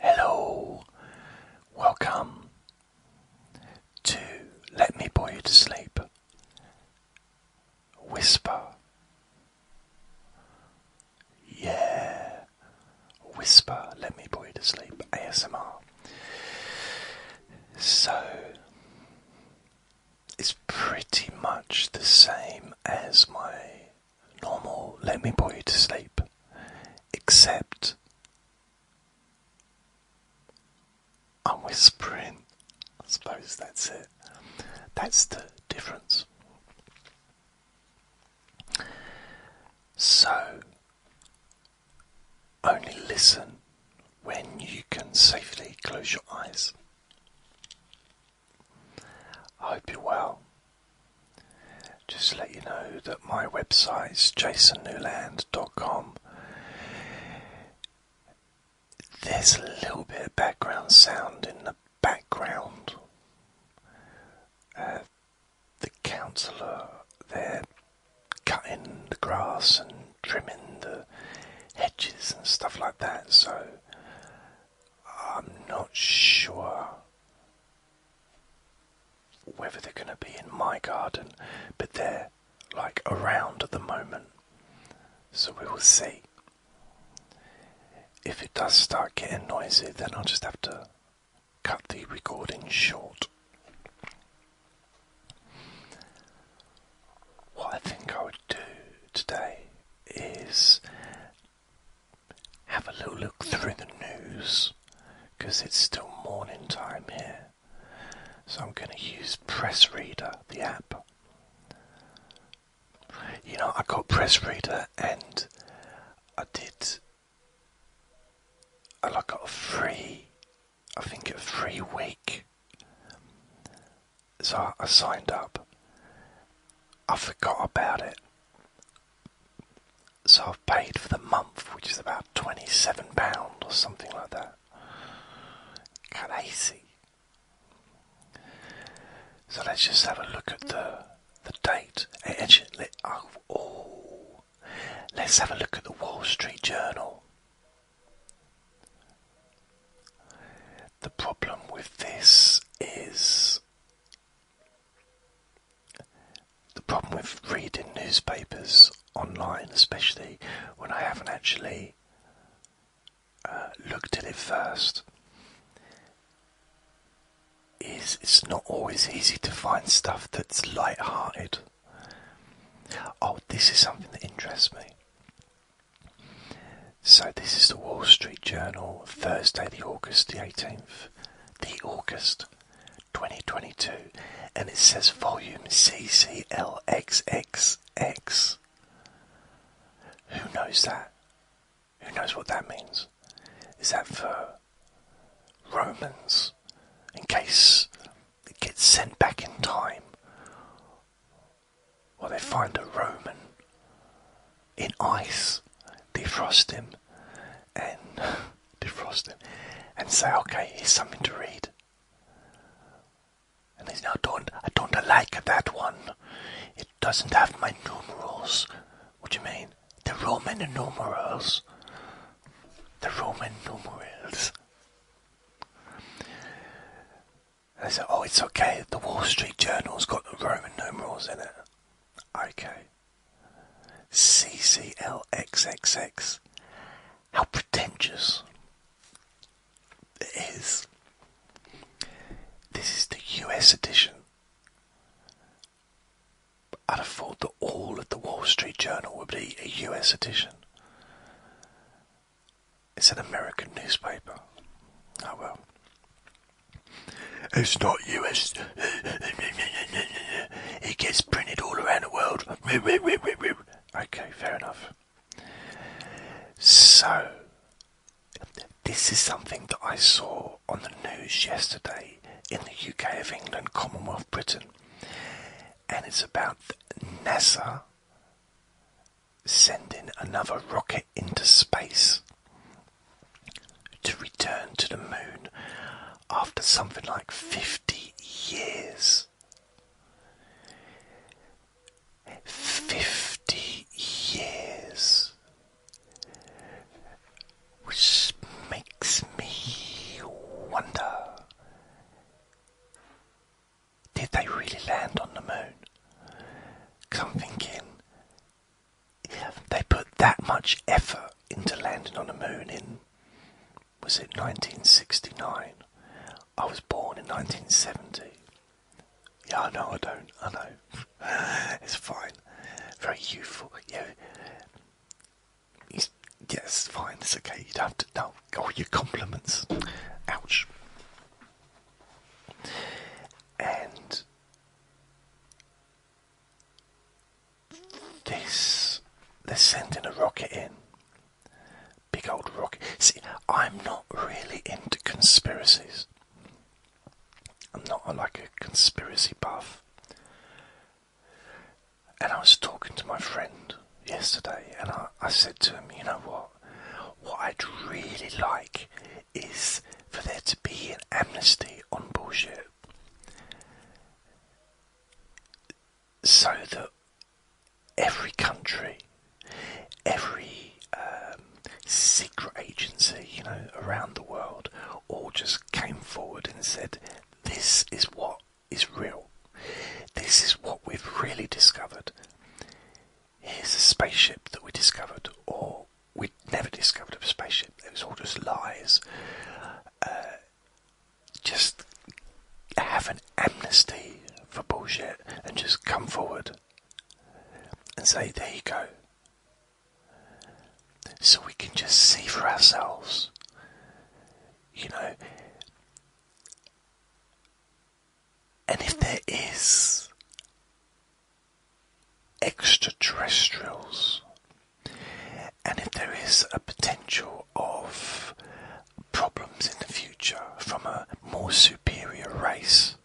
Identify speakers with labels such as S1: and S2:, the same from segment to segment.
S1: Hello, welcome to Let Me Bore You to Sleep. Whisper. Yeah, whisper. Let me bore you to sleep. ASMR. So, it's pretty much the same as my normal, let me put you to sleep. Except I'm whispering. I suppose that's it. That's the difference. So, only listen when you can safely close your eyes. I hope you're well. Just to let you know that my website's jasonnewland.com. There's a little bit of background sound in the background. Uh, the councillor they're cutting the grass and trimming the hedges and stuff like that, so I'm not sure whether they're going to be in my garden, but they're like around at the moment. So we will see. If it does start getting noisy, then I'll just have to cut the recording short. What I think I would do today is have a little look through the news because it's still morning time here. So I'm going to use Press Reader, the app. You know, I got Press Reader and I did. I got a free, I think a free week. So I signed up. I forgot about it so I've paid for the month, which is about £27 or something like that. Can I see? So let's just have a look at the the date. Eh, actually, oh, let's have a look at the Wall Street Journal. The problem with this is the problem with reading newspapers online, especially when I haven't actually uh, looked at it first, is it's not always easy to find stuff that's light-hearted. Oh, this is something that interests me. So this is the Wall Street Journal, Thursday, the August the 18th, the August 2022, and it says volume CCLXXX. Who knows that? Who knows what that means? Is that for Romans? In case they get sent back in time, or they find a Roman in ice, defrost him, and. defrosting and say, okay, here's something to read. And he's now don't I don't like that one. It doesn't have my numerals. What do you mean? The Roman numerals. The Roman numerals. I said, oh, it's okay. The Wall Street Journal's got the Roman numerals in it. Okay. CCLXXX. How pretentious it is. This is the US edition. I'd have thought that all of the Wall Street Journal would be a US edition. It's an American newspaper. Oh well. It's not US. It gets printed all around the world. Okay, fair enough. So, this is something that I saw on the news yesterday in the UK of England, Commonwealth Britain, and it's about NASA sending another rocket into space to return to the moon after something like 50 years. 50 years. Which makes me wonder did they really land on the moon? Come I'm thinking they put that much effort into landing on the moon in was it 1969? I was born in 1970. Yeah, I know I don't. I know. it's fine. Very youthful. Yeah. He's, fine. It's okay. You have to. No. Oh, your compliments. Ouch. And this they're sending a rocket in. Big old rocket. See, I'm not really into conspiracies. I'm not like a conspiracy buff. And I was talking to my friend yesterday, and I, I said to him, you know what? What I'd really like is for there to be an amnesty on bullshit so that every country, every um, secret agency, you know, around the world, all just came forward and said, "This is what is real. This is what we've really discovered. Here's a spaceship that we discovered, or we'd never discovered a spaceship. It was all just lies. Uh, just have an amnesty for bullshit and just come forward and say, there you go. So we can just see for ourselves. You know, and if there is extraterrestrials and if there is a potential of problems in the future from a more superior race,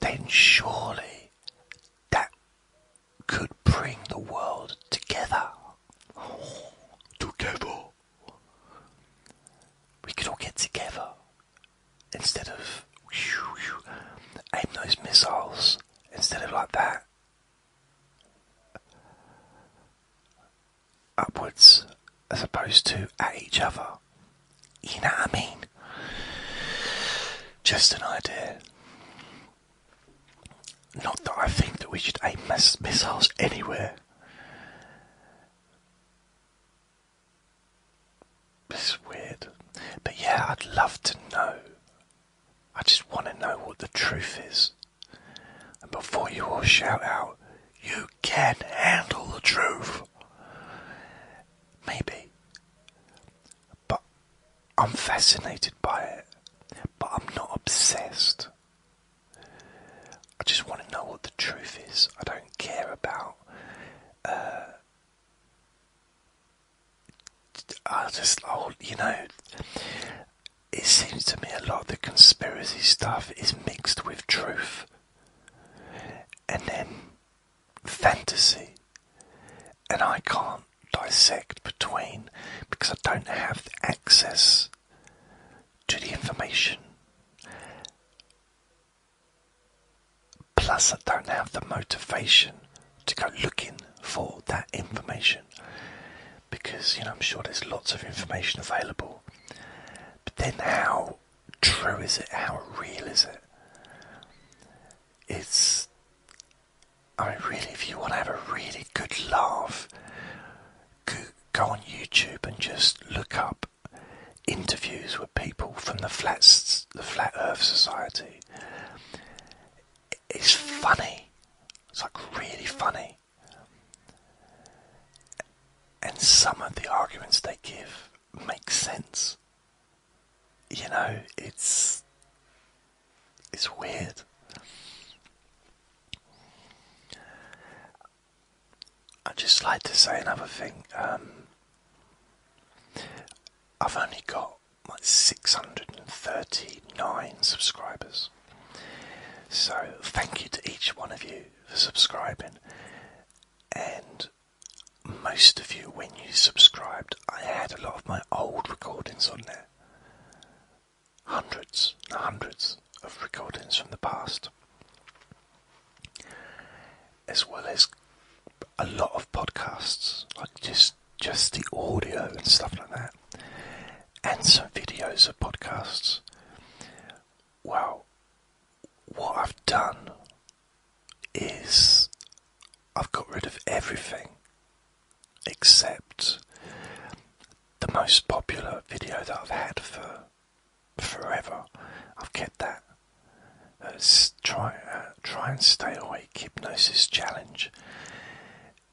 S1: then surely that could bring the world together. Together. We could all get together instead of aim those missiles instead of like that upwards as opposed to at each other. You know what I mean? Just an idea. Not that I think that we should aim missiles anywhere. It's weird. But yeah, I'd love to know. I just want to know what the truth is. And before you all shout out, you can handle the truth. Maybe. But I'm fascinated by it. But I'm not obsessed. I just want to know what the truth is. I don't care about uh, I just, oh, you know, it seems to me a lot of the conspiracy stuff is mixed with truth and then fantasy, and I can't dissect between because I don't have access to the information. Plus, I don't have the motivation to go looking for that information because you know I'm sure there's lots of information available. But then, how true is it? How real is it? It's I mean, really, if you want to have a really good laugh, go, on YouTube and just look up interviews with people from the Flat Earth Society it's funny. It's like really funny. And some of the arguments they give make sense. You know, it's it's weird. I'd just like to say another thing. Um, I've only got like 639 subscribers. So, thank you to each one of you for subscribing. And most of you, when you subscribed, I had a lot of my old recordings on there. Hundreds and hundreds of recordings from the past. As well as a lot of podcasts, like just just the audio and stuff like that, and some videos of podcasts. Well, what I've done is I've got rid of everything except the most popular video that I've had for forever. I've kept that uh, try, try and stay awake hypnosis challenge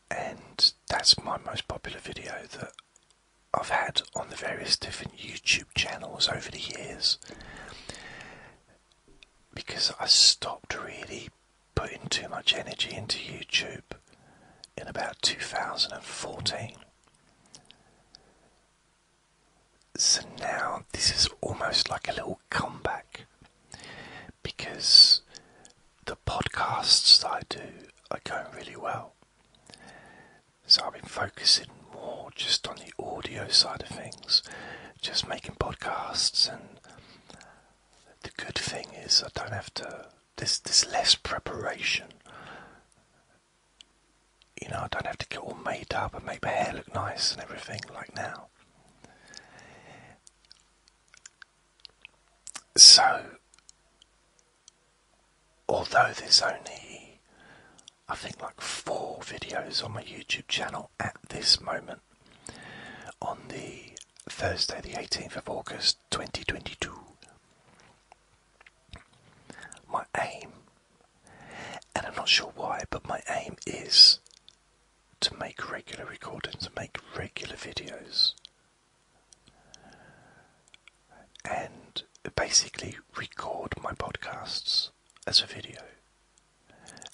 S1: and that's my most popular video that I've had on the various different YouTube channels over the years because I stopped really putting too much energy into YouTube in about 2014 so now this is almost like a little comeback because the podcasts that I do are going really well. So I've been focusing more just on the audio side of things, just making podcasts and the good thing is I don't have to there's there's less preparation. You know, I don't have to get all made up and make my hair look nice and everything like now. So, although there's only, I think, like four videos on my YouTube channel at this moment, on the Thursday, the 18th of August 2022, my aim, and I'm not sure why, but my aim is to make regular recordings, make regular videos, and basically record my podcasts as a video,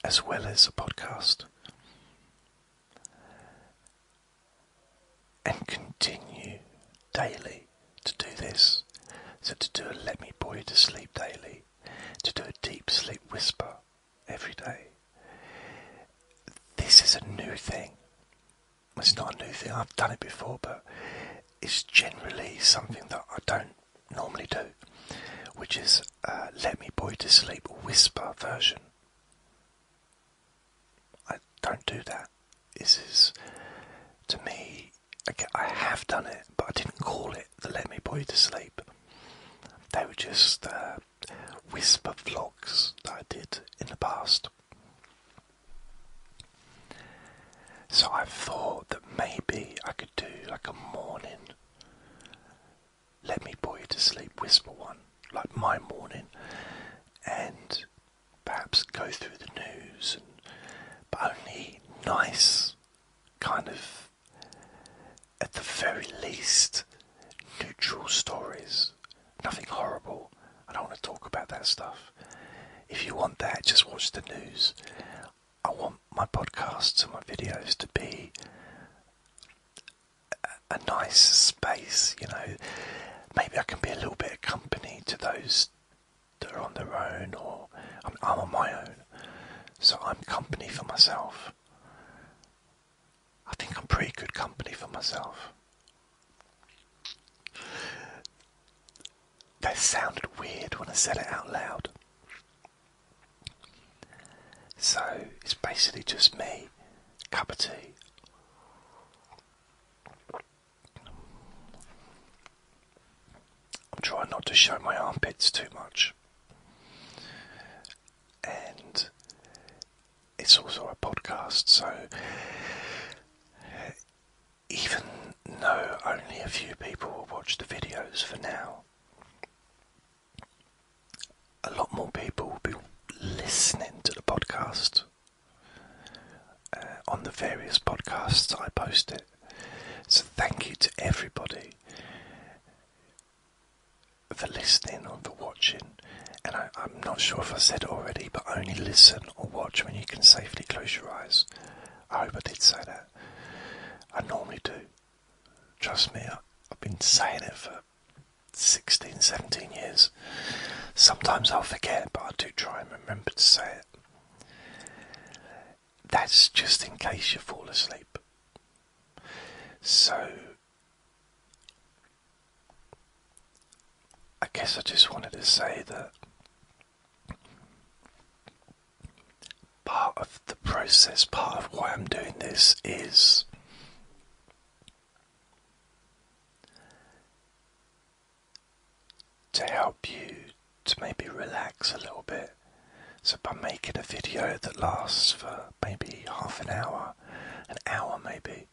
S1: as well as a podcast, and continue daily to do this. So to do a Let Me you to Sleep daily to do a deep sleep whisper every day. This is a new thing. It's not a new thing, I've done it before, but it's generally something that I don't normally do, which is uh, Let Me Boy to Sleep whisper version. I don't do that. This is, to me, I have done it, but I didn't call it the Let Me Boy to Sleep. They were just uh, whisper vlogs that I did in the past. So I thought that maybe I could do like a morning, let me put you to sleep whisper one, like my morning, and perhaps go through the news, but only nice kind of at the very least, neutral stories. Nothing horrible. I don't want to talk about that stuff. If you want that, just watch the news. I want my podcasts and my videos to be a, nice space, you know. Maybe I can be a little bit of company to those that are on their own, or I'm on my own. So I'm company for myself. I think I'm pretty good company for myself. That sounded weird when I said it out loud. So it's basically just me, cup of tea. I'm trying not to show my armpits too much. And it's also a podcast, so even though only a few people will watch the videos for now, a lot more people will be listening to the podcast uh, on the various podcasts I post it. So thank you to everybody the listening or the watching, and I, am not sure if I said it already, but only listen or watch when you can safely close your eyes. I hope I did say that. I normally do. Trust me, I, I've been saying it for 16, 17 years. Sometimes I'll forget, but I do try and remember to say it that's just in case you fall asleep. So, I guess I just wanted to say that part of the process, part of why I'm doing this is. To help you to maybe relax a little bit. So by making a video that lasts for maybe half an hour, an hour maybe,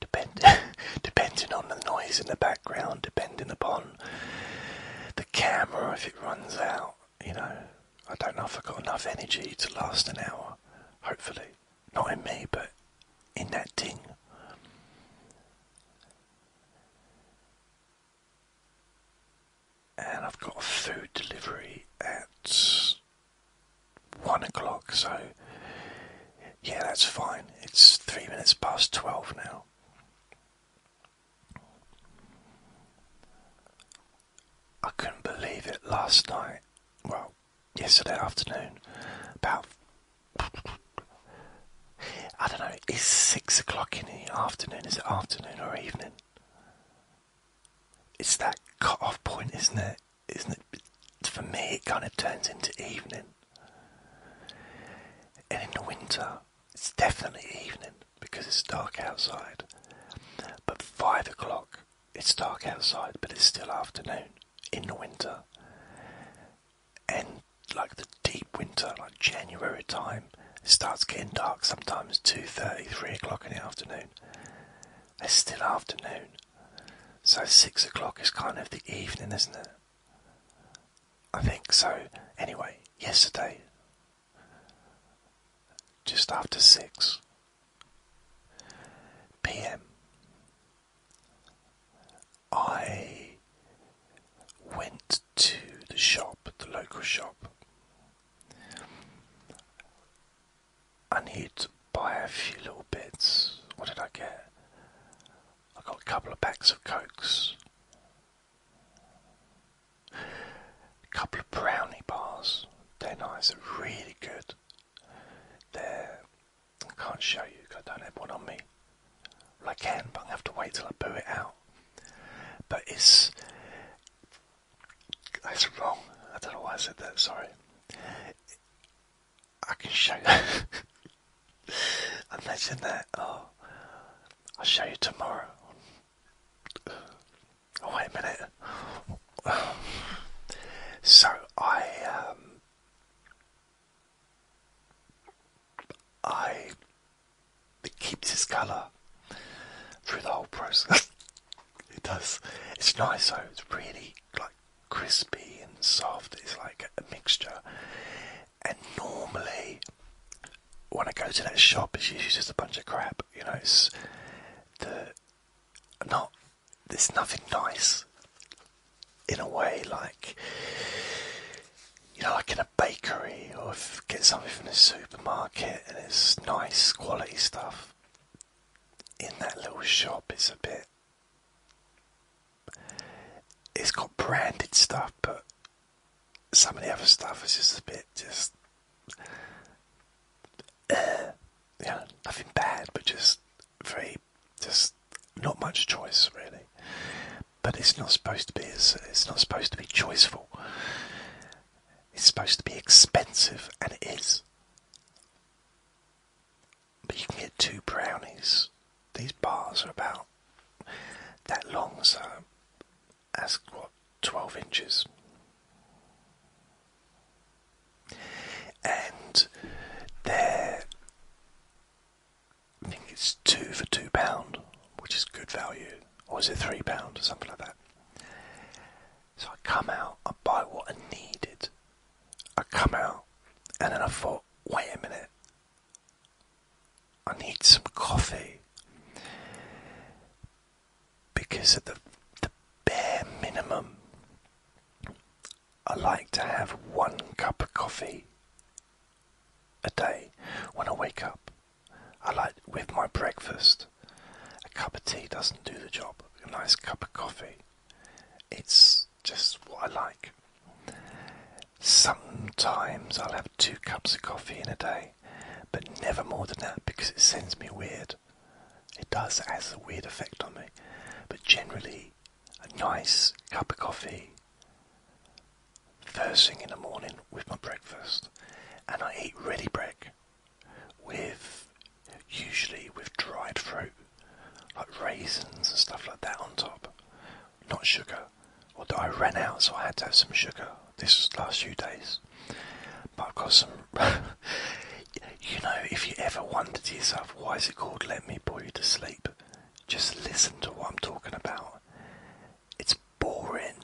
S1: depend depending on the noise in the background, depending upon the camera if it runs out, you know, I don't know if I've got enough energy to last an hour, hopefully. Not in me, but in that ding and I've got food delivery at one o'clock, so yeah, that's fine. It's three minutes past twelve now. I couldn't believe it last night. Well, yesterday afternoon, about I don't know, It's six o'clock in the afternoon, is it afternoon or evening? it's that cut off point, isn't it? Isn't it? For me, it kind of turns into evening. And in the winter, it's definitely evening because it's dark outside. But five o'clock, it's dark outside, but it's still afternoon in the winter. And like the deep winter, like January time, it starts getting dark sometimes 2.30, 3 o'clock in the afternoon. It's still afternoon. So 6 o'clock is kind of the evening, isn't it? I think so. Anyway, yesterday, just after 6 pm, I went to the shop, the local shop, I need to buy a few little bits. What did I get? I got a couple of packs of cokes, a couple of brownie bars. They're nice. They're really good. they I can't show you because I don't have one on me. Well, I can, but I have to wait till I boo it out. But it's that's wrong. I don't know why I said that. Sorry. I can show you. Imagine that. Oh, I'll show you tomorrow. Oh, wait a minute. So I, um, I it keeps its colour through the whole process. it does. It's nice though. It's really like crispy and soft. It's like a mixture. And normally, when I go to that shop, it's usually just a bunch of crap. You know, it's not. There's nothing nice. In a way, like you know, like in a bakery or get something from the supermarket and it's nice quality stuff. In that little shop, it's a bit. It's got branded stuff, but some of the other stuff is just a bit just. Uh, nothing bad, but just very. just not much choice, really. But it's not supposed to be. It's, it's not supposed to be choiceful. It's supposed to be expensive, and it is. But you can get two brownies. These bars are about that long, so as what, 12 inches. And they're, I think it's two for two pound, which is good value. Or is it three pound or something like that? So I come out, I buy what I needed. I come out, and then I thought, wait a minute, I need some coffee. Because of the, the bare minimum, I like to have one cup of coffee a day when I wake up. I like with my breakfast. A cup of tea doesn't do the job. A nice cup of coffee. It's just what I like. Sometimes I'll have two cups of coffee in a day, but never more than that because it sends me weird. It does, has a weird effect on me. But generally, a nice cup of coffee first thing in the morning with my breakfast and I eat ready brick with usually with dried fruit like raisins and stuff like that on top, not sugar. Although I ran out, so I had to have some sugar. This last few days, but I've got some. you know, if you ever wonder to yourself why is it called "Let Me Bore You to Sleep," just listen to what I'm talking about. It's boring.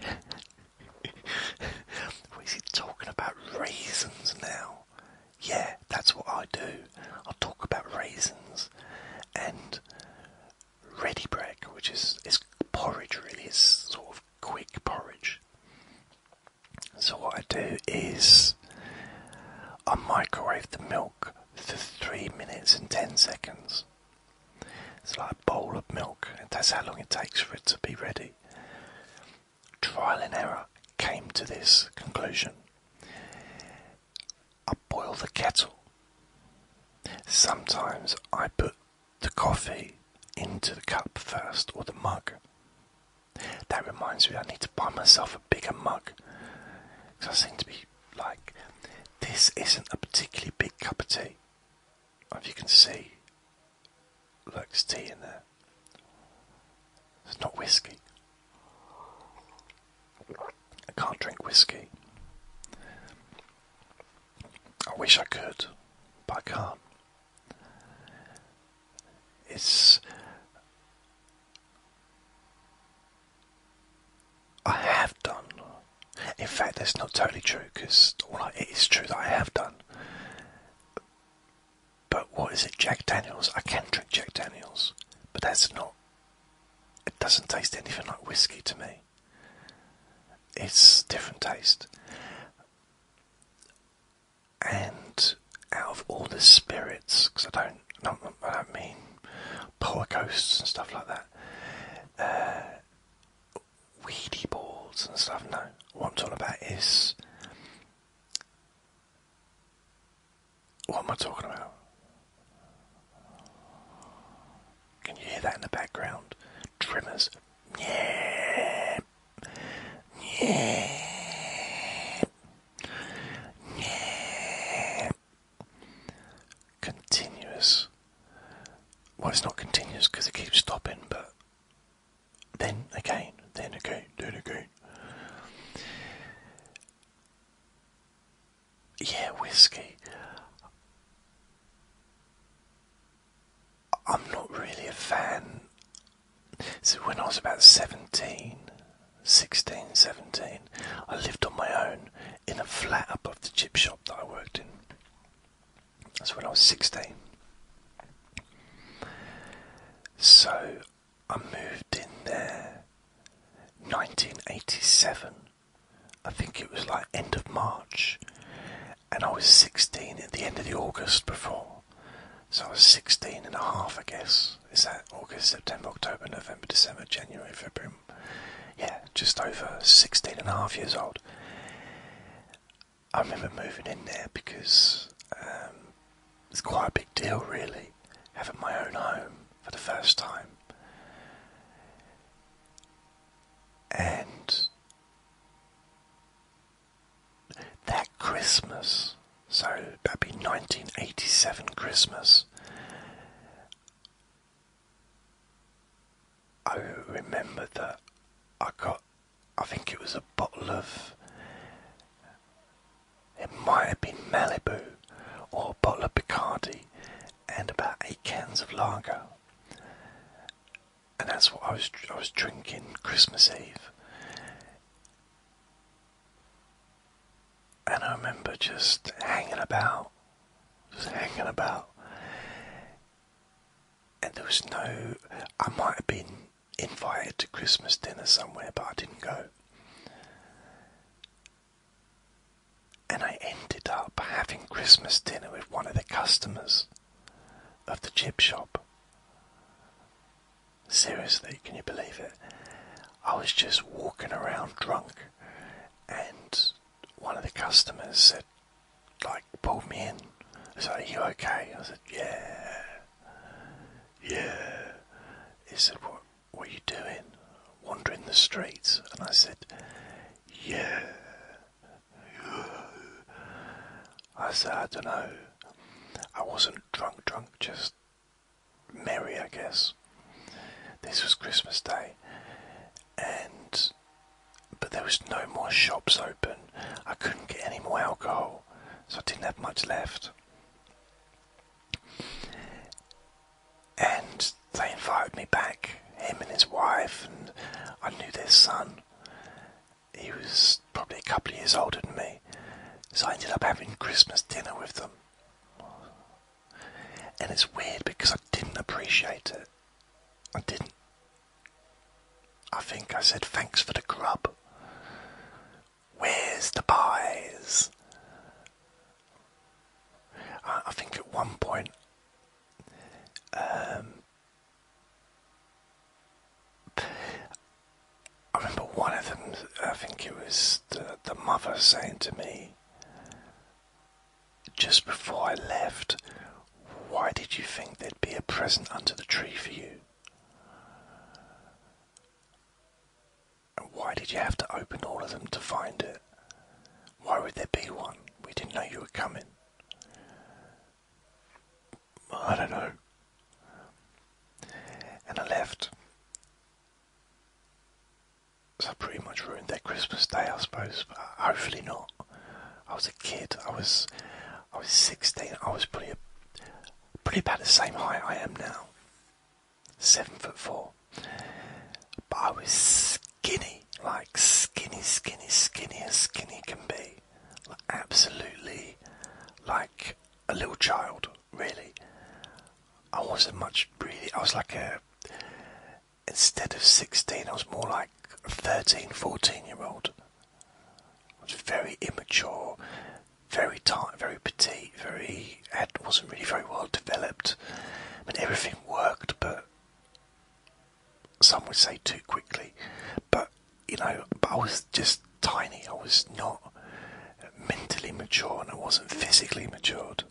S1: what is he talking about? Raisins now. Yeah, that's what I do. I talk about raisins and ready break, which is, is porridge really, it's sort of quick porridge. So what I do is I microwave the milk for 3 minutes and 10 seconds. It's like a bowl of milk, and that's how long it takes for it to be ready. Trial and error came to this conclusion. I boil the kettle. Sometimes I put the coffee into the cup first or the mug. That reminds me, I need to buy myself a bigger mug because I seem to be like, this isn't a particularly big cup of tea if you can see, looks tea in there. It's not whiskey. I can't drink whiskey. I wish I could, but I can't. It's. I have done in fact, that's not totally true because well, it is true that I have done. But what is it, Jack Daniels? I can drink Jack Daniels, but that's not. It doesn't taste anything like whiskey to me. It's different taste. And out of all the spirits, because I don't, not, I don't mean polar ghosts, and stuff like that. Uh, weedy balls and stuff. No, what I'm talking about is what am I talking about? Can you hear that in the background? Trimmers. Yeah. Yeah. Yeah. Continuous well, it's not continuous because it keeps stopping, but then again, then again, then again. Yeah, whiskey. I'm not really a fan. So when I was about 17, 16, 17, I lived on my own in a flat above the chip shop that I worked in. That's when I was 16. So I moved in there 1987. I think it was like end of March. And I was 16 at the end of the August before. So I was 16 and a half, I guess. Is that August, September, October, November, December, January, February? Yeah, just over 16 and a half years old. I remember moving in there because um, it's quite a big deal, really, having my own home for the first time. And that Christmas, so that'd be 1987 Christmas, I remember that I got, I think it was a bottle of, it might have been Malibu or a bottle of Bacardi and about eight cans of lager. And that's what I was, I was drinking Christmas Eve. And I remember just hanging about, just hanging about and there was no. I might have been invited to Christmas dinner somewhere, but I didn't go. And I ended up having Christmas dinner with one of the customers of the chip shop. Seriously, can you believe it? I was just walking around drunk, and one of the customers said, like pulled me in. I said, Are you okay? I said, Yeah. Yeah. He said, What were you doing? Wandering the streets and I said, Yeah. I said, I don't know. I wasn't drunk, drunk, just merry, I guess. This was Christmas Day, and but there was no more shops open. I couldn't get any more alcohol, so I didn't have much left. And they invited me back, him and his wife, and I knew their son. He was probably a couple of years older than me, so I ended up having Christmas dinner with them. And it's weird because I didn't appreciate it. I didn't. I think I said thanks for the grub. Where's the pies? I, think at one point, um, I remember one of them. I think it was the mother saying to me, just before I left, why did you think there'd be a present under the tree for you? And why did you have to open all of them to find it? Why would there be one? We didn't know you were coming. I don't know. And I left. So I pretty much ruined their Christmas day, I suppose, but hopefully not. I was a kid. I was, I was 16. I was pretty, pretty about the same height I am now. Seven foot four. But I was skinny, like skinny, skinny, skinnier, skinnier can be. Like absolutely, like a little child. Really, I wasn't much. Really, I was like a instead of 16, I was more like a 13, 14 year old. I was very immature, very tight, very petite, very, It wasn't really very well developed. I everything worked, but some would say too quickly. But, you know, but I was just tiny. I was not mentally mature and I wasn't physically matured.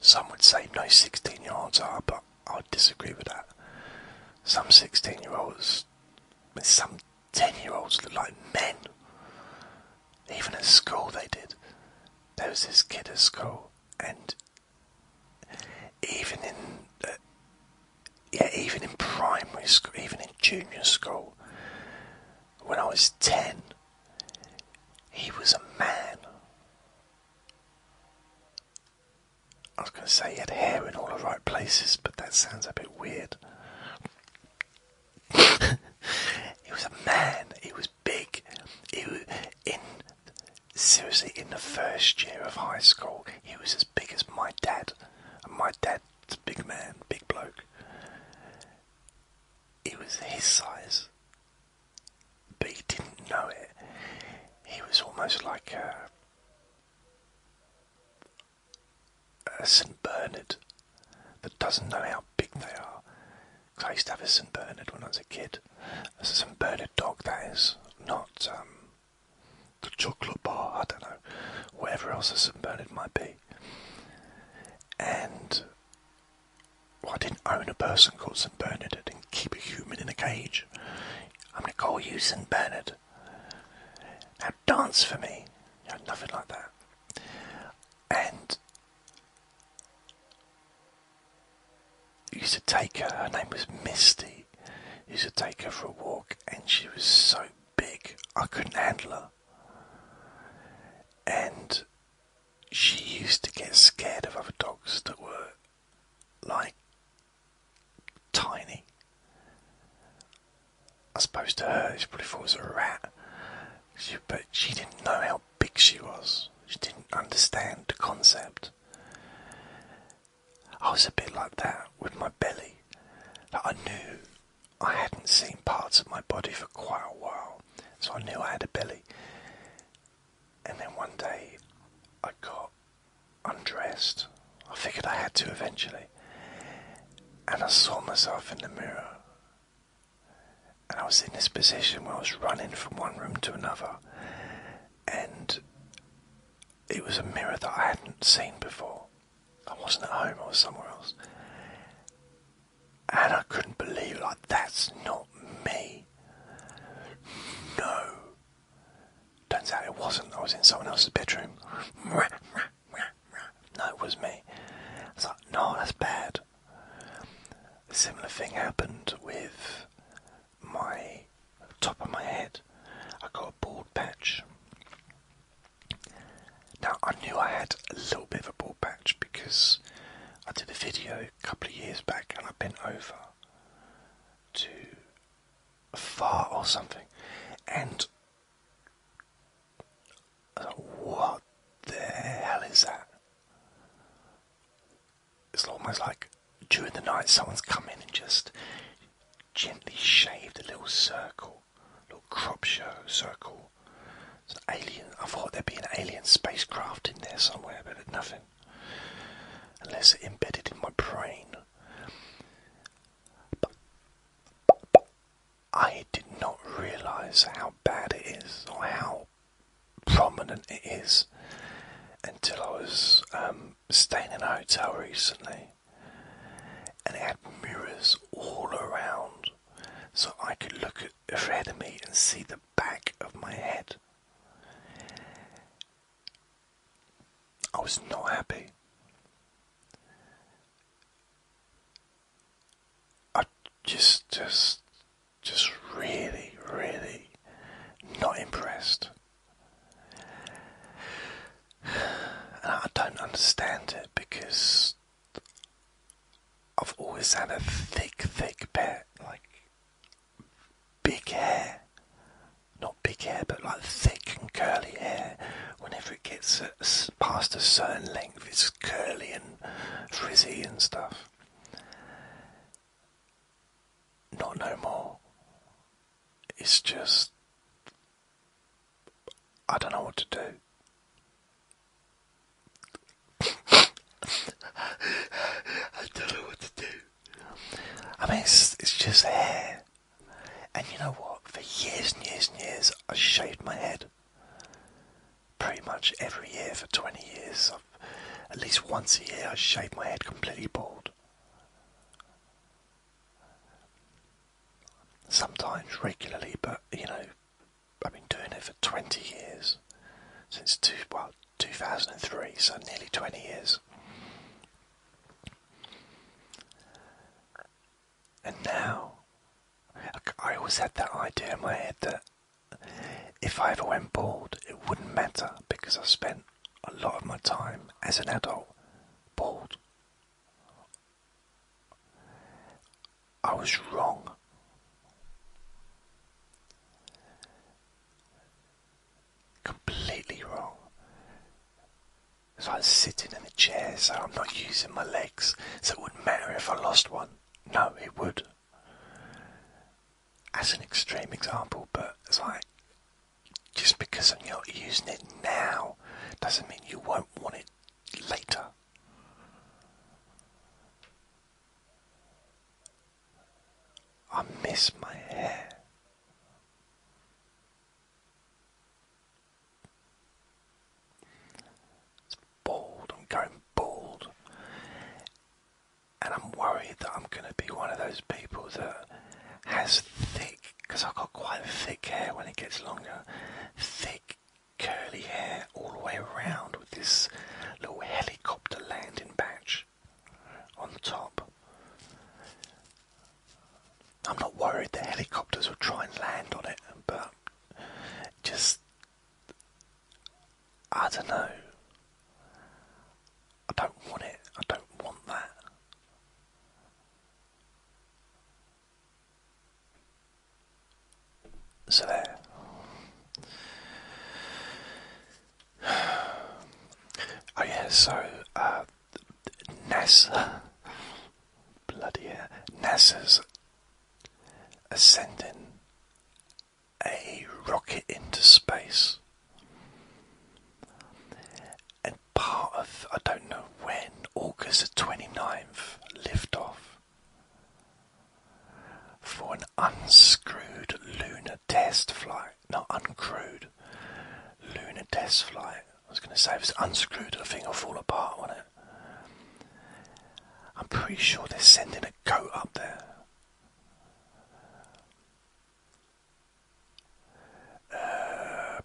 S1: Some would say no 16 year olds are, but I disagree with that. Some 16 year olds, some 10 year olds look like men. Even at school, they did. There was this kid at school, and even in uh, yeah, even in primary school, even in junior school, when I was 10, he was a man. I was going to say he had hair in all the right places, but that sounds a bit weird. he was a man. He was big. He was in seriously in the first year of high school. He was as big as my dad, and my dad's a big man, big bloke. It was his size but he didn't know it. He was almost like a, St. Bernard that doesn't know how big they are. Cause I used to have a St. Bernard when I was a kid. That's A St. Bernard dog, that is. Not um, the chocolate bar, I don't know. Whatever else a St. Bernard might be. And I didn't own a person called St. Bernard. I didn't keep a human in a cage. I'm going to call you St. Bernard. Now dance for me. nothing like that. And used to take her, her name was Misty. used to take her for a walk, and she was so big, I couldn't handle her. And she used to get scared of other dogs that were like tiny. I suppose to her, she probably thought it was a rat, but she didn't know how big she was. She didn't understand the concept. I was a bit like that with my belly. Like I knew I hadn't seen parts of my body for quite a while, so I knew I had a belly. And then one day I got undressed. I figured I had to eventually. And I saw myself in the mirror. And I was in this position where I was running from one room to another. And it was a mirror that I hadn't seen before. I wasn't at home, I was somewhere else. And I couldn't believe, like, that's not me. No. Turns out it wasn't. I was in someone else's bedroom. No, it was me. It's like, no, that's bad. similar thing happened with my top of my head. I got a bald patch. Now I knew I had a little bit of a bald patch because I did a video a couple of years back and I bent over to fart or something and what the hell is that? It's almost like during the night someone's come in and just gently shaved a little circle, little crop show circle. It's an alien. I thought there'd be an alien spacecraft in there somewhere, but nothing unless it's embedded in my brain. I did not realize how bad it is or how prominent it is until I was um, staying in a hotel recently and it had mirrors all around so I could look ahead of me and see the back of my head. I was not happy. I just, just, just really, really not impressed. And I don't understand it because I've always had a thick, thick bet. Like, big hair. Not big hair, but like thick and curly hair. Whenever it gets past a certain length, it's curly and frizzy and stuff. Not no more. It's just. I don't know what to do. I don't know what to do. I mean, it's, just hair. And you know what? For years and years and years, I shaved my head. Pretty much every year for 20 years. at least once a year, I shaved my head completely bald. Sometimes regularly, but you know, I've been doing it for 20 years. Since two, well, 2003, so nearly 20 years. And now, I always had that idea in my head that if I ever went bald, it wouldn't matter because I spent a lot of my time as an adult bald. I was wrong. Completely wrong. So I'm sitting in a chair, so I'm not using my legs, so it wouldn't matter if I lost one. No, it would. As an extreme example, but it's like just because I'm not using it now doesn't mean you won't want it later. I miss my hair. It's bald, I'm going bald. And I'm worried that I'm going to be one of those people that has thick, because I've got quite thick hair when it gets longer, thick curly hair all the way around with this little helicopter landing patch on the top. I'm not worried the helicopters will try and land on it, but just I don't know. I don't want it. I don't want that. So there. Oh yeah, so uh, NASA, bloody hell, NASA's ascending a rocket into space, and part of I don't know when August the 29th liftoff for an unscrewed lunar test flight. Not uncrewed. Lunar test flight. I was going to say, if it's unscrewed, the thing will fall apart, won't it? I'm pretty sure they're sending a goat up there. Uh,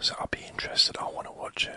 S1: so I'll be interested. I want to watch it.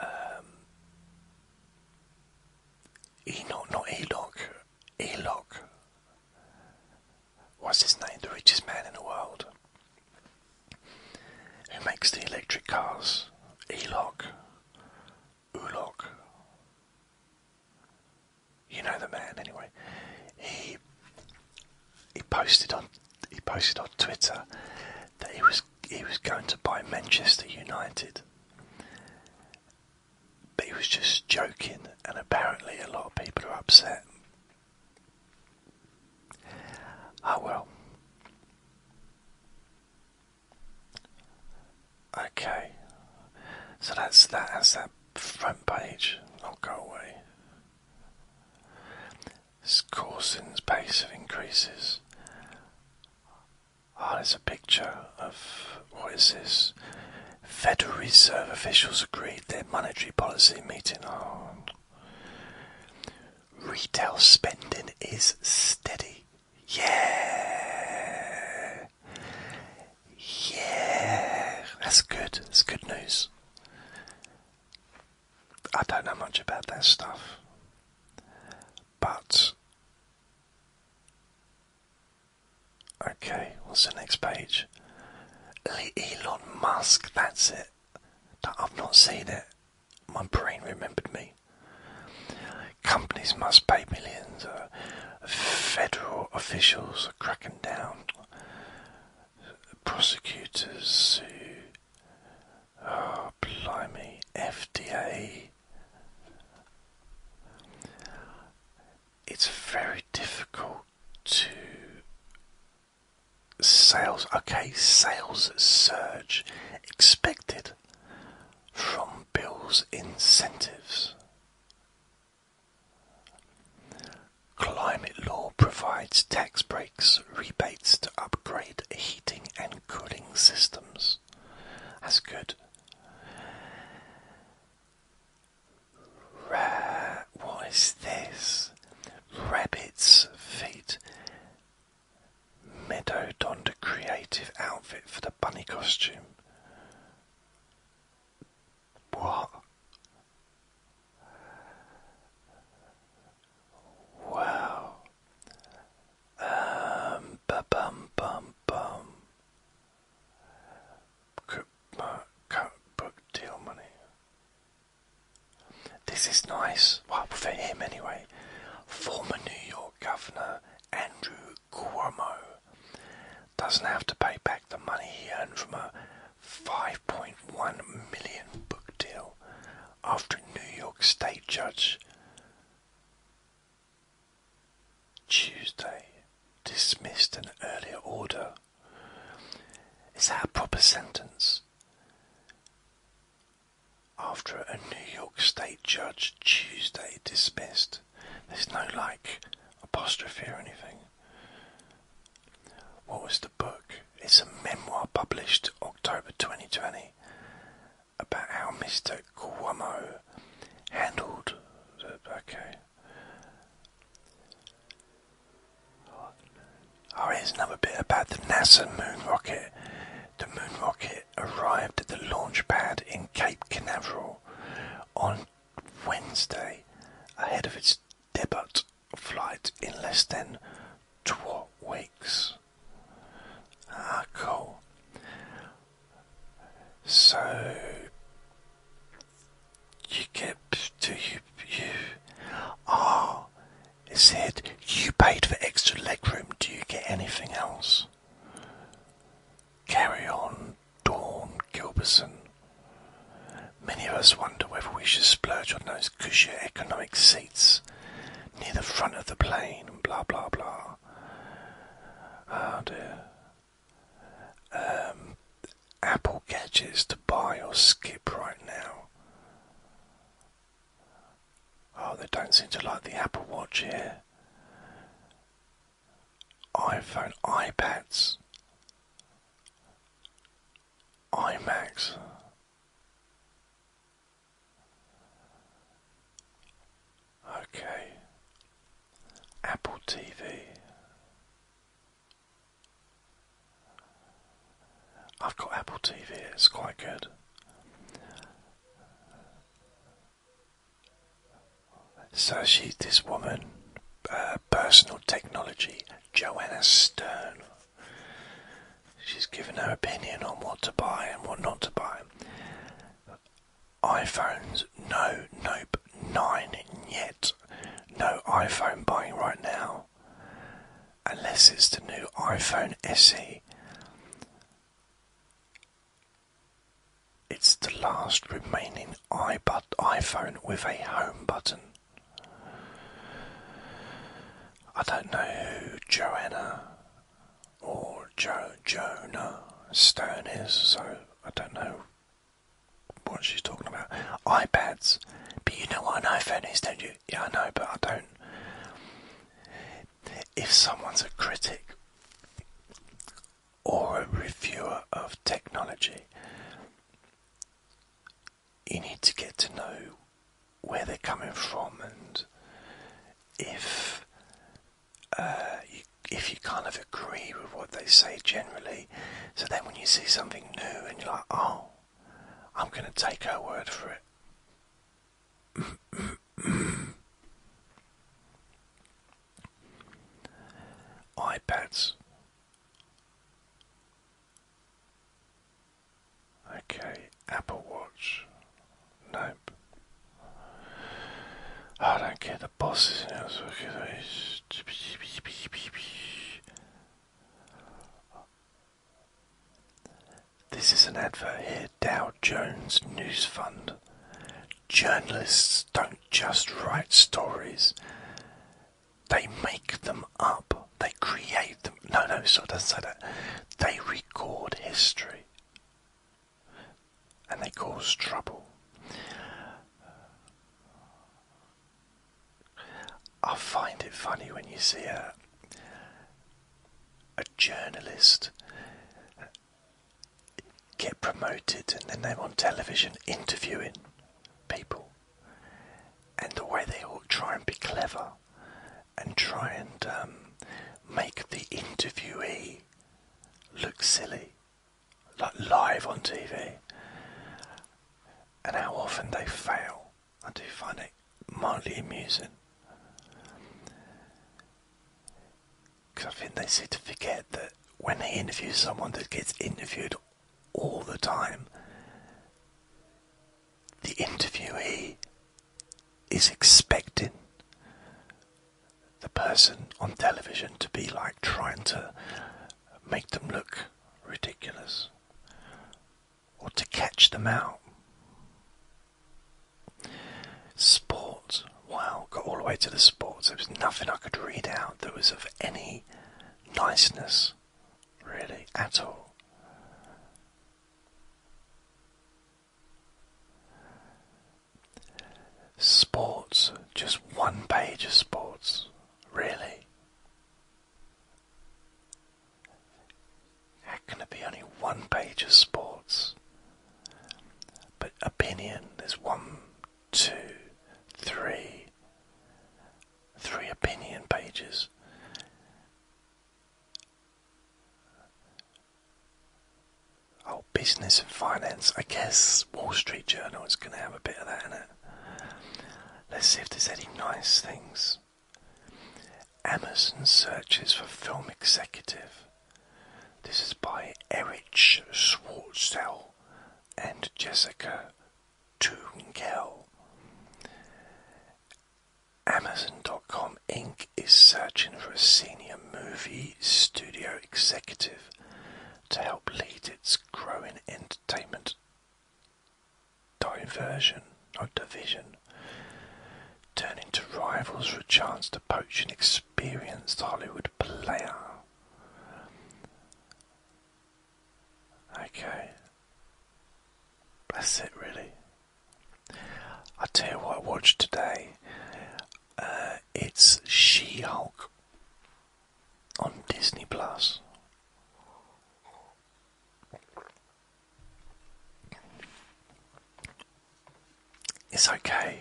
S1: um, not Eloch, Eloch was his name, the richest man in the world, who makes the electric cars, Eloch, Uloch, you know the man anyway, he, he posted on he posted on Twitter that he was he was going to buy Manchester United. But he was just joking, and apparently a lot of people are upset. Oh well. Okay. So that's that. That's that front page. I'll go away. Coulson's pace of increases. Ah, there's a picture of what is this? Federal Reserve officials agreed their monetary policy meeting. Oh. Retail spending is steady. Yeah. Yeah. That's good. That's good news. I don't know much about that stuff, but okay, what's the next page? Elon Musk, that's it. I've not seen it. My brain remembered me. Companies must pay millions. Uh, federal officials are cracking down. Prosecutors sue. Oh, blimey, FDA. It's very difficult to. Sales, okay, sales surge expected from Bill's incentives. Climate law provides tax breaks rebates to upgrade heating and cooling systems. That's good. Ra what is this? Rabbit's feet. Meadow donned a creative outfit for the bunny costume. What? Wow. Um, ba bum bum bum. Uh, Cookbook deal money. This is nice. Well, for him anyway. Former New York Governor Andrew Cuomo doesn't have to pay back the money he earned from a 5.1 million book deal after a New York State judge Tuesday dismissed an earlier order. Is that a proper sentence? After a New York State judge Tuesday dismissed. There's no like apostrophe or anything. What was book. It's a memoir published October 2020 about how Mr. Cuomo handled. The, okay. Oh, here's another bit about the NASA moon rocket. The moon rocket arrived at the launch pad in Cape Canaveral on Wednesday ahead of its debut flight in less than two weeks. Ah, So you get to you you ah. it said you paid for extra legroom. Do you get anything else? Carry on, Dawn Gilberson. Many of us wonder whether we should splurge on those cushy economic seats near the front of the plane and blah blah blah. Oh dear. Um, Apple gadgets to buy or skip right now. Oh, they don't seem to like the Apple Watch here. iPhone, iPads, iMacs. Okay. Apple TV. I've got Apple TV, it's quite good. So she's this woman, uh, personal technology, Joanna Stern. She's given her opinion on what to buy and what not to buy. iPhones, no, nope, nine yet. No iPhone buying right now. Unless it's the new iPhone SE. It's the last remaining iPod iPhone with a home button. I don't know who Joanna or jo- Jonah Stone is, so I don't know what she's talking about. iPads. But you know what an iPhone is, don't you? Yeah, I know, but I don't. If someone's a critic or a reviewer of technology, you need to get to know where they're coming from and if uh, you, if you kind of agree with what they say generally. So then when you see something new and you're like, oh, I'm going to take her word for it. iPads. Okay, Apple Watch. Nope. Ah, I don't care, the boss is now so This is an advert here, Dow Jones News Fund. Journalists don't just write stories, they make them up. They create them. No, no, so it doesn't say that. They record history and they cause trouble. I find it funny when you see a, a journalist get promoted and then they're on television interviewing people and the way they all try and be clever and try and um, make the interviewee look silly, like live on TV, and how often they fail. I do find it mildly amusing. Because I think they seem to forget that when they interview someone that gets interviewed all the time, the interviewee is expecting the person on television to be like trying to make them look ridiculous or to catch them out. Sports. wow, got all the way to the sports. There was nothing I could read out that was of any niceness, really, at all. Sports, just one page of sports, really? How can it be only one page of sports? But opinion, there's one, two, three, three opinion pages. Oh, business and finance. I guess Wall Street Journal is going to have a bit of that in it. Let's see if there's any nice things. Amazon searches for film executive. This is by Erich Schwartzel and Jessica Tungel. Amazon.com Inc. is searching for a senior movie studio executive to help lead its growing entertainment diversion or division, turning to rivals for a chance to poach an experienced Hollywood player. Okay, that's it really. I tell you what I watched today. Uh, it's She-Hulk on Disney Plus. It's okay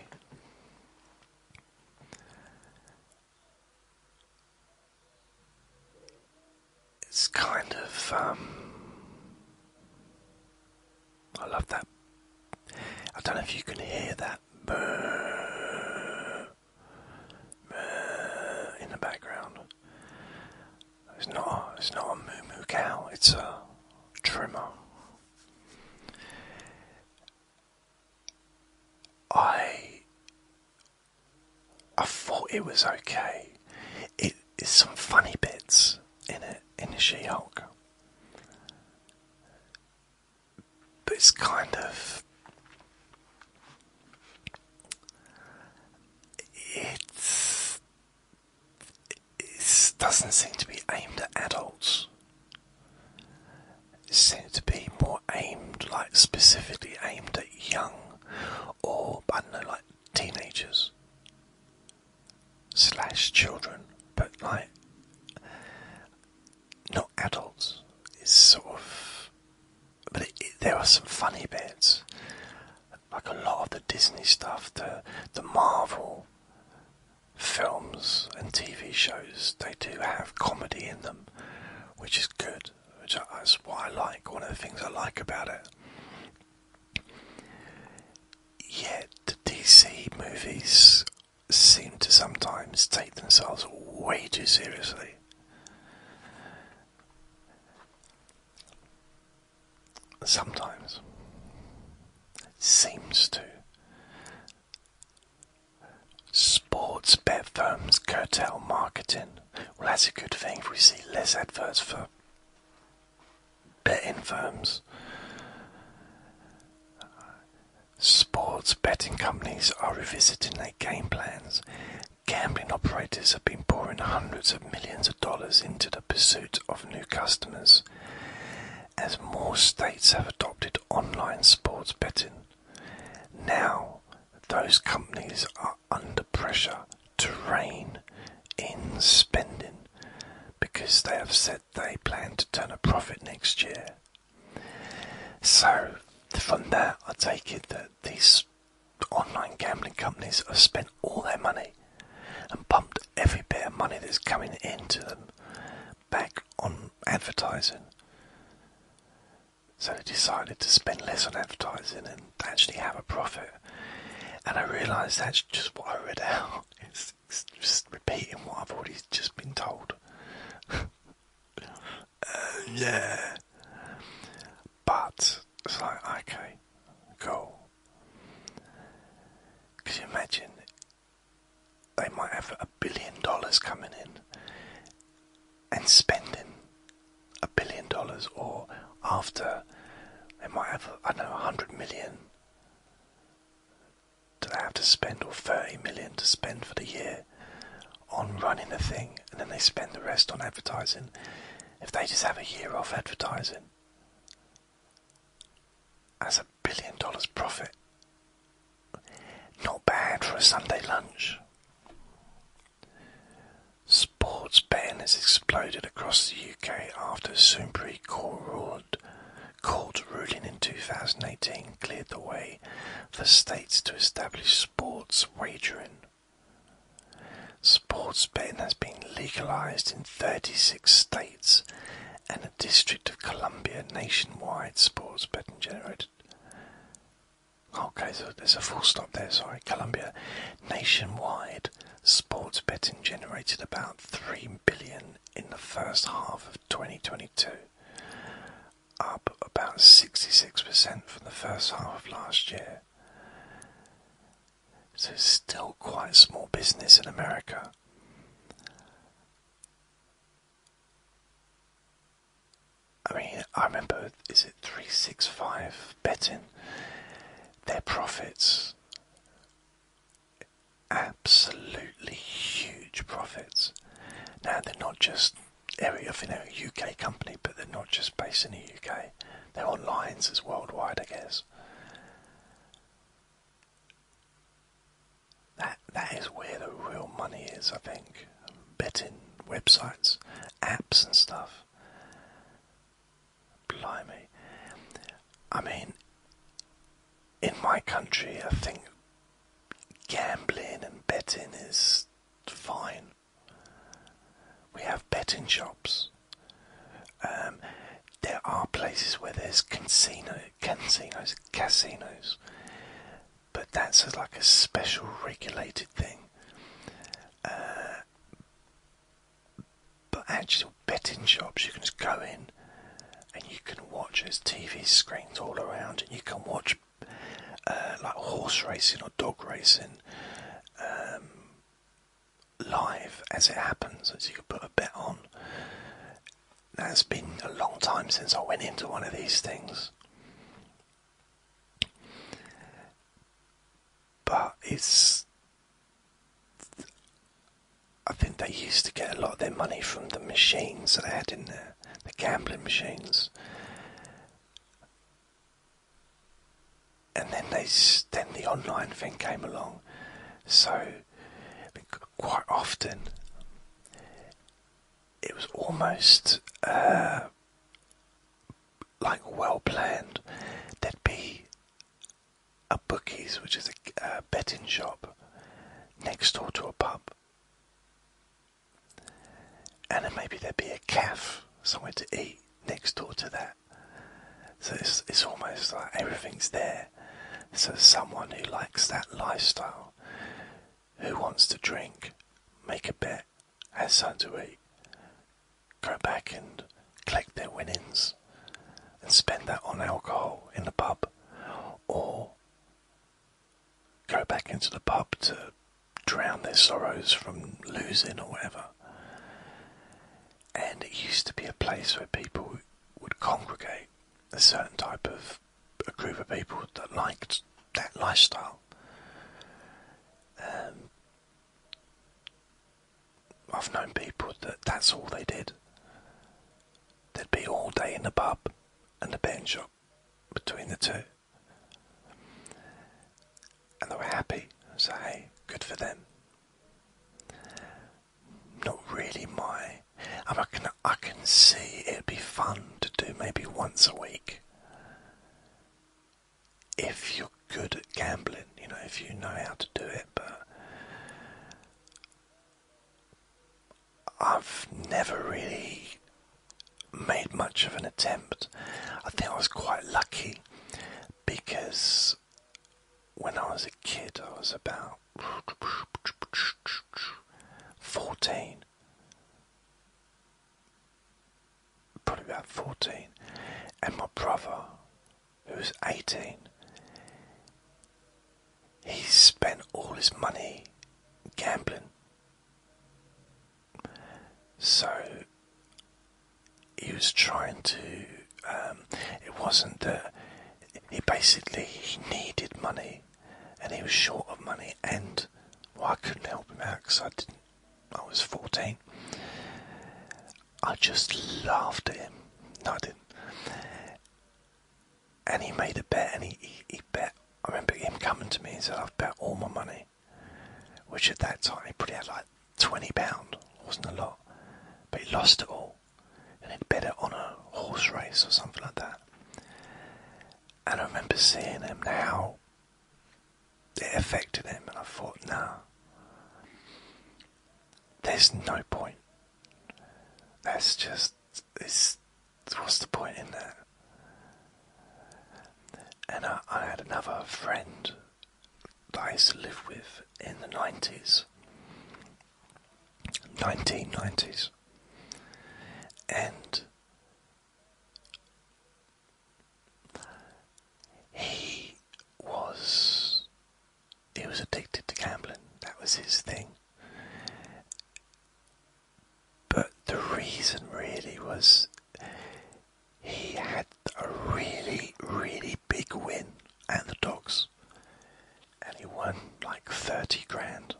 S1: it's kind of um, I love that. I don't know if you can hear that in the background. It's not. It's not a moo moo cow. It's a trimmer. I I thought it was okay. It is some funny bits in it in She-Hulk, but it's kind of it's it doesn't seem to be aimed at adults. It seems to be more aimed, like specifically aimed at young or I don't know, like teenagers slash children, but like not adults. It's sort of, but there are some funny bits. Like a lot of the Disney stuff, the the Marvel films and TV shows, they do have comedy in them, which is good. Which is what I like. One of the things I like about it. Yet the DC movies seem to sometimes take themselves way too seriously. Sometimes. Seems to. Sports bet firms cartel marketing. Well, that's a good thing if we see less adverts for betting firms, sports betting companies are revisiting their game plans. Gambling operators have been pouring hundreds of millions of dollars into the pursuit of new customers. As more states have adopted online sports betting, now those companies are under pressure to rein in spending because they have said they plan to turn a profit next year. So, from that, I take it that these online gambling companies have spent all their money and pumped every bit of money that's coming into them back on advertising. So they decided to spend less on advertising and actually have a profit. And I realise that's just what I read out. It's, just repeating what I've already just been told. yeah. But it's like, okay, cool. you imagine they might have a billion dollars coming in and spending a billion dollars or after they might have, I don't know, 100 million. Do they have to spend or 30 million to spend for the year on running the thing and then they spend the rest on advertising if they just have a year off advertising? That's a billion dollars profit. Not bad for a Sunday lunch. Sports betting has exploded across the UK after a Supreme Court ruling in 2018 cleared the way for states to establish sports wagering. Sports betting has been legalized in 36 states and the District of Columbia nationwide sports betting generated. Okay, so there's a full stop there, sorry. Columbia nationwide Sports betting generated about 3 billion in the first half of 2022, up about 66% from the first half of last year. So it's still quite a small business in America. I mean, I remember, is it 365 betting? Their profits, absolutely huge profits. Now they're not just area you know UK company, but they're not just based in the UK. They're online, lines as worldwide, I guess. That that is where the real money is, I think. Betting websites, apps and stuff. Blimey. I mean, in my country, I think gambling and betting is fine. We have betting shops. Um, there are places where there's casino, casinos, casinos, but that's like a special regulated thing. Uh, but actual betting shops you can just go in and you can watch there's TV screens all around and you can watch uh, like horse racing or dog racing um, live as it happens as you can put a bet on now it's been a long time since I went into one of these things but it's I think they used to get a lot of their money from the machines that they had in there, the gambling machines. And then they, then the online thing came along, so quite often it was almost uh, like well planned. There'd be a bookies, which is a, betting shop next door to a pub, and then maybe there'd be a cafe somewhere to eat next door to that. So it's almost like everything's there. So someone who likes that lifestyle, who wants to drink, make a bet and as Suntory go back and collect their winnings and spend that on alcohol in the pub or go back into the pub to drown their sorrows from losing or whatever. And it used to be a place where people would congregate, a certain type of a group of people that liked that lifestyle. Um, I've known people that that's all they did. They'd be all day in the pub and the betting shop between the two. And they were happy, so hey, good for them. Not really my. I can I can see it'd be fun to do maybe once a week if you're good at gambling, you know, if you know how to do it, but I've never really made much of an attempt. I think I was quite lucky because when I was a kid, I was about 14 probably about 14, and my brother, who was 18, he spent all his money gambling. So he was trying to. Um, it wasn't that he basically he needed money, and he was short of money, and I couldn't help him out because I didn't. I was fourteen. I just laughed at him. No, I didn't. And he made a bet, and he, he, bet. I remember him coming to me and said, "I've bet all my money," which at that time he put out like twenty It pound, wasn't a lot, but he lost it all, and he'd bet it on a horse race or something like that. And I remember seeing him now it affected him, and I thought, no, there's no point. That's just, it's, what's the point in that? And I, I had another friend that I used to live with in the 90s, 1990s, and he was he was addicted to gambling. That was his thing. But the reason really was he had a really, really big win and the dogs. And he won like 30 grand.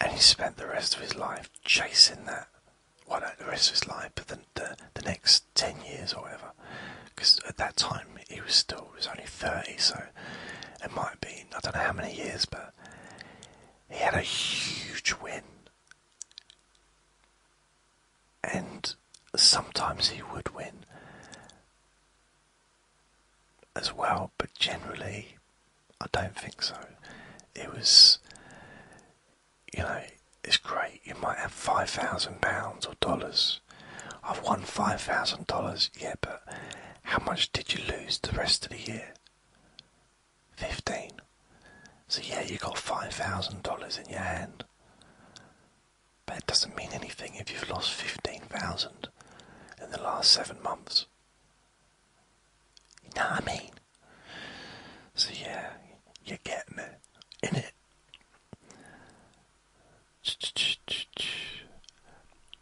S1: And he spent the rest of his life chasing that well, not the rest of his life, but the, the, next 10 years or whatever. Because at that time he was still, he was only 30, so it might have been, I don't know how many years, but he had a huge win. And sometimes he would win as well, but generally, I don't think so. It was you know, it's great. You might have five thousand pounds or dollars. I've won five thousand dollars, yeah, but how much did you lose the rest of the year? Fifteen. So yeah, you got five thousand dollars in your hand. But it doesn't mean anything if you've lost fifteen thousand in the last seven months. You know what I mean? So yeah, you're getting it, in it.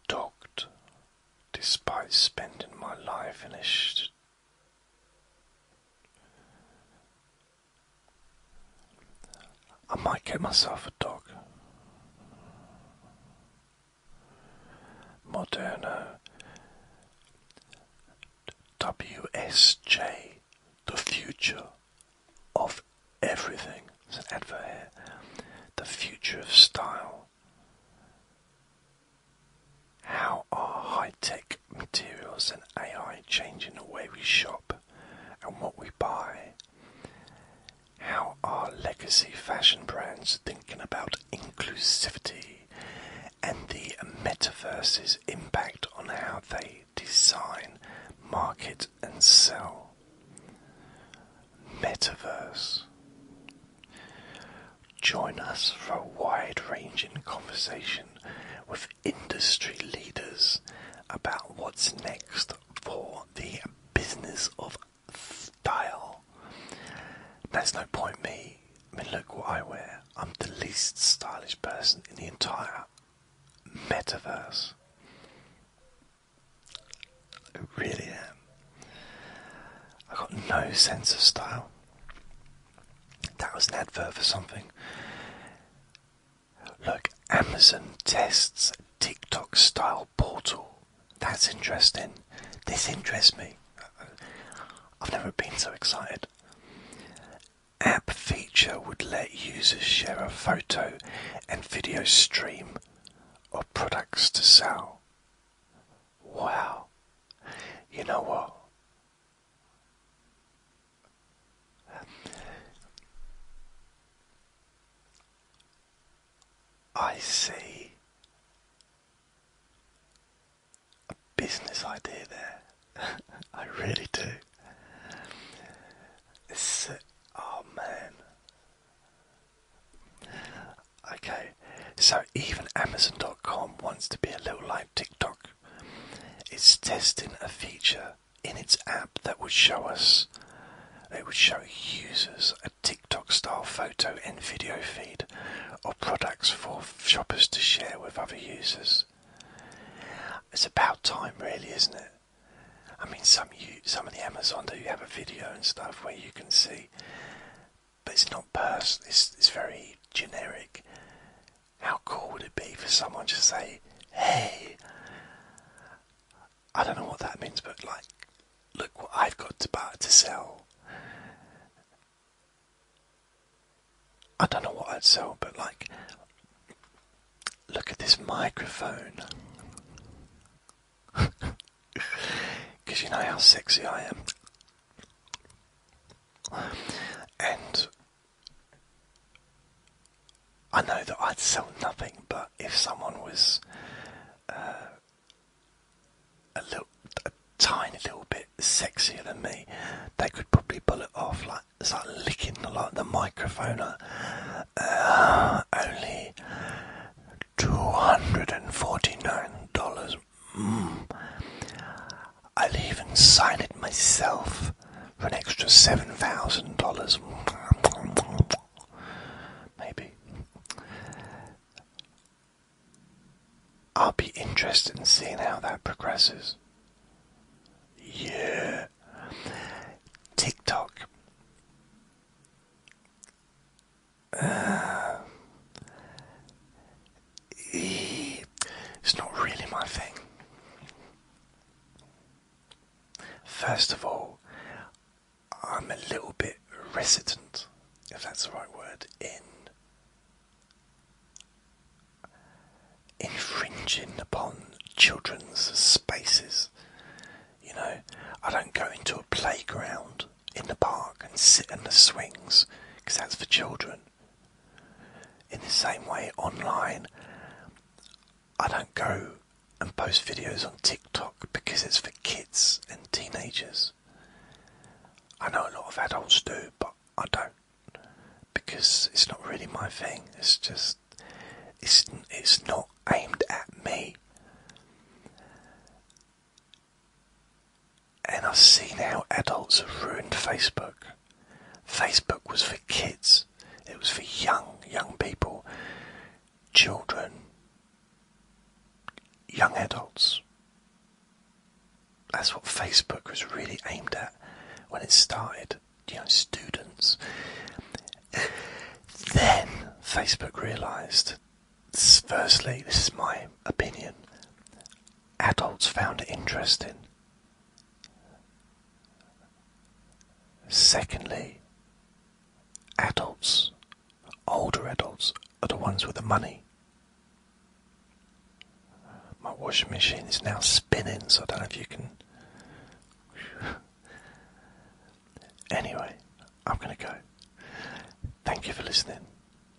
S1: Dogged, despite spending my life in a sh I might get myself a dog. Moderno WSJ, the future of everything. an advert here. The future of style. How are high tech materials and AI changing the way we shop and what we buy? How are legacy fashion brands thinking about inclusivity and the metaverse's impact on how they design, market, and sell. Metaverse. Join us for a wide ranging conversation with industry leaders about what's next for the business of style. That's no point me look what I wear. I'm the least stylish person in the entire metaverse. I really am. I have got no sense of style. That was an advert for something. Look, Amazon tests TikTok style portal. That's interesting. This interests me. I've never been so excited. App feature would let users share a photo and video stream of products to sell. Wow. You know what? I see a business idea there. I really do. oh man. Okay, so even Amazon.com wants to be a little like TikTok. It's testing a feature in its app that would show us, it would show users a TikTok style photo and video feed of products for shoppers to share with other users. It's about time, really, isn't it? I mean, some you, some of the Amazon do have a video and stuff where you can see, but it's not personal. It's it's very generic. How cool would it be for someone to say, "Hey, I don't know what that means, but like, look what I've got to buy to sell," I don't know what I'd sell, but like, look at this microphone. Because you know how sexy I am. And I know that I'd sell nothing, but if someone was uh, a little, tiny little bit sexier than me, they could probably pull it off. Like it's licking the, like the microphone. Uh, only two hundred and forty-nine dollars. Mm. I'll even sign it myself for an extra seven thousand dollars. Maybe. I'll be interested in seeing how that progresses. Yeah. TikTok. Uh, it's not really my thing. First of all, I'm a little bit resident, if that's the right word, in infringing upon children's spaces. You know, I don't go into a playground in the park and sit on the swings because that's for children. In the same way, online, I don't go and post videos on TikTok because it's for kids and teenagers. I know a lot of adults do, but I don't because it's not really my thing. It's just it's it's not aimed at me. And I've seen how adults have ruined Facebook. Facebook was for kids. It was for young, young people, children, young adults. That's what Facebook was really aimed at when it started. You know, students. then Facebook realised, firstly, this is my opinion, adults found it interesting. Secondly, adults, older adults, are the ones with the money my washing machine is now spinning, so I don't know if you can. anyway, I'm going to go. Thank you for listening.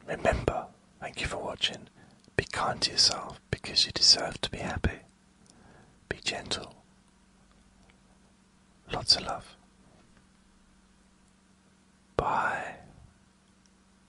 S1: Remember, thank you for watching. Be kind to yourself because you deserve to be happy. Be gentle. Lots of love. Bye.